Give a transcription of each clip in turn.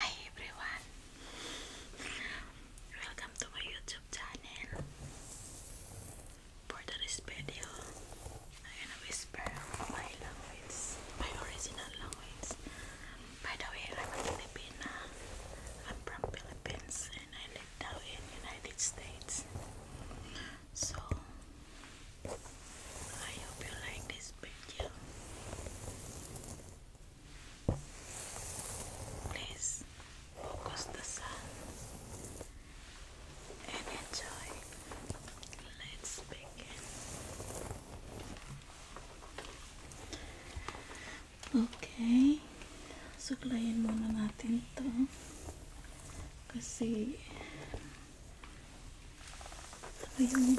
Hi everyone, welcome to my YouTube channel. For this video, I'm gonna whisper my language, my original language. By the way, I'm a I'm from Philippines and I live now in United States. So, I hope you like this video. Please focus the sun and enjoy. Let's begin. Okay. Suklayin muna natin to. Kasi ito yung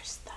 first time.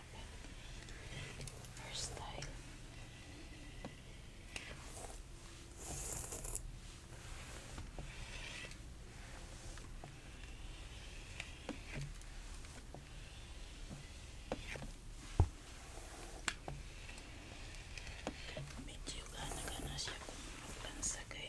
First thing. style. Medyo gana-gana siya kung magpansa kay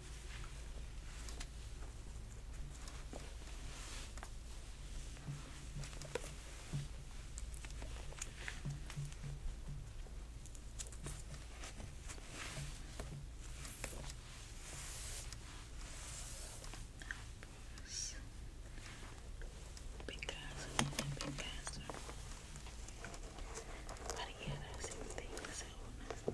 Picasso, Picasso. Cualquiera sin ti, según.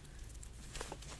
Keep it winning, you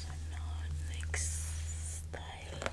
So now next style.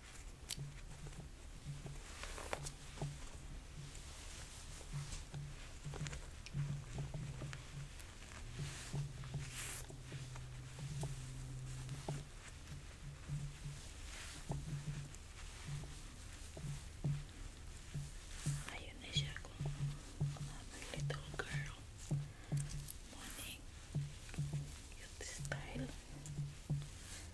I initially a little girl morning youth style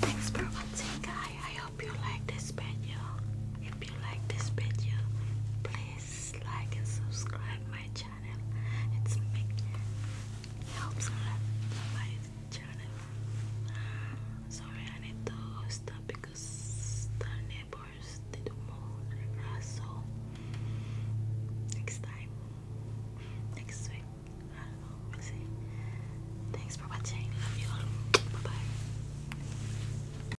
Thanks for watching guys. I hope you like this video. If you like this video, please like and subscribe my channel. It's big helps a lot my channel. Sorry, I need to stop because the neighbors did mow So next time, next week, I don't know. We'll Thanks for watching. Love you Bye bye.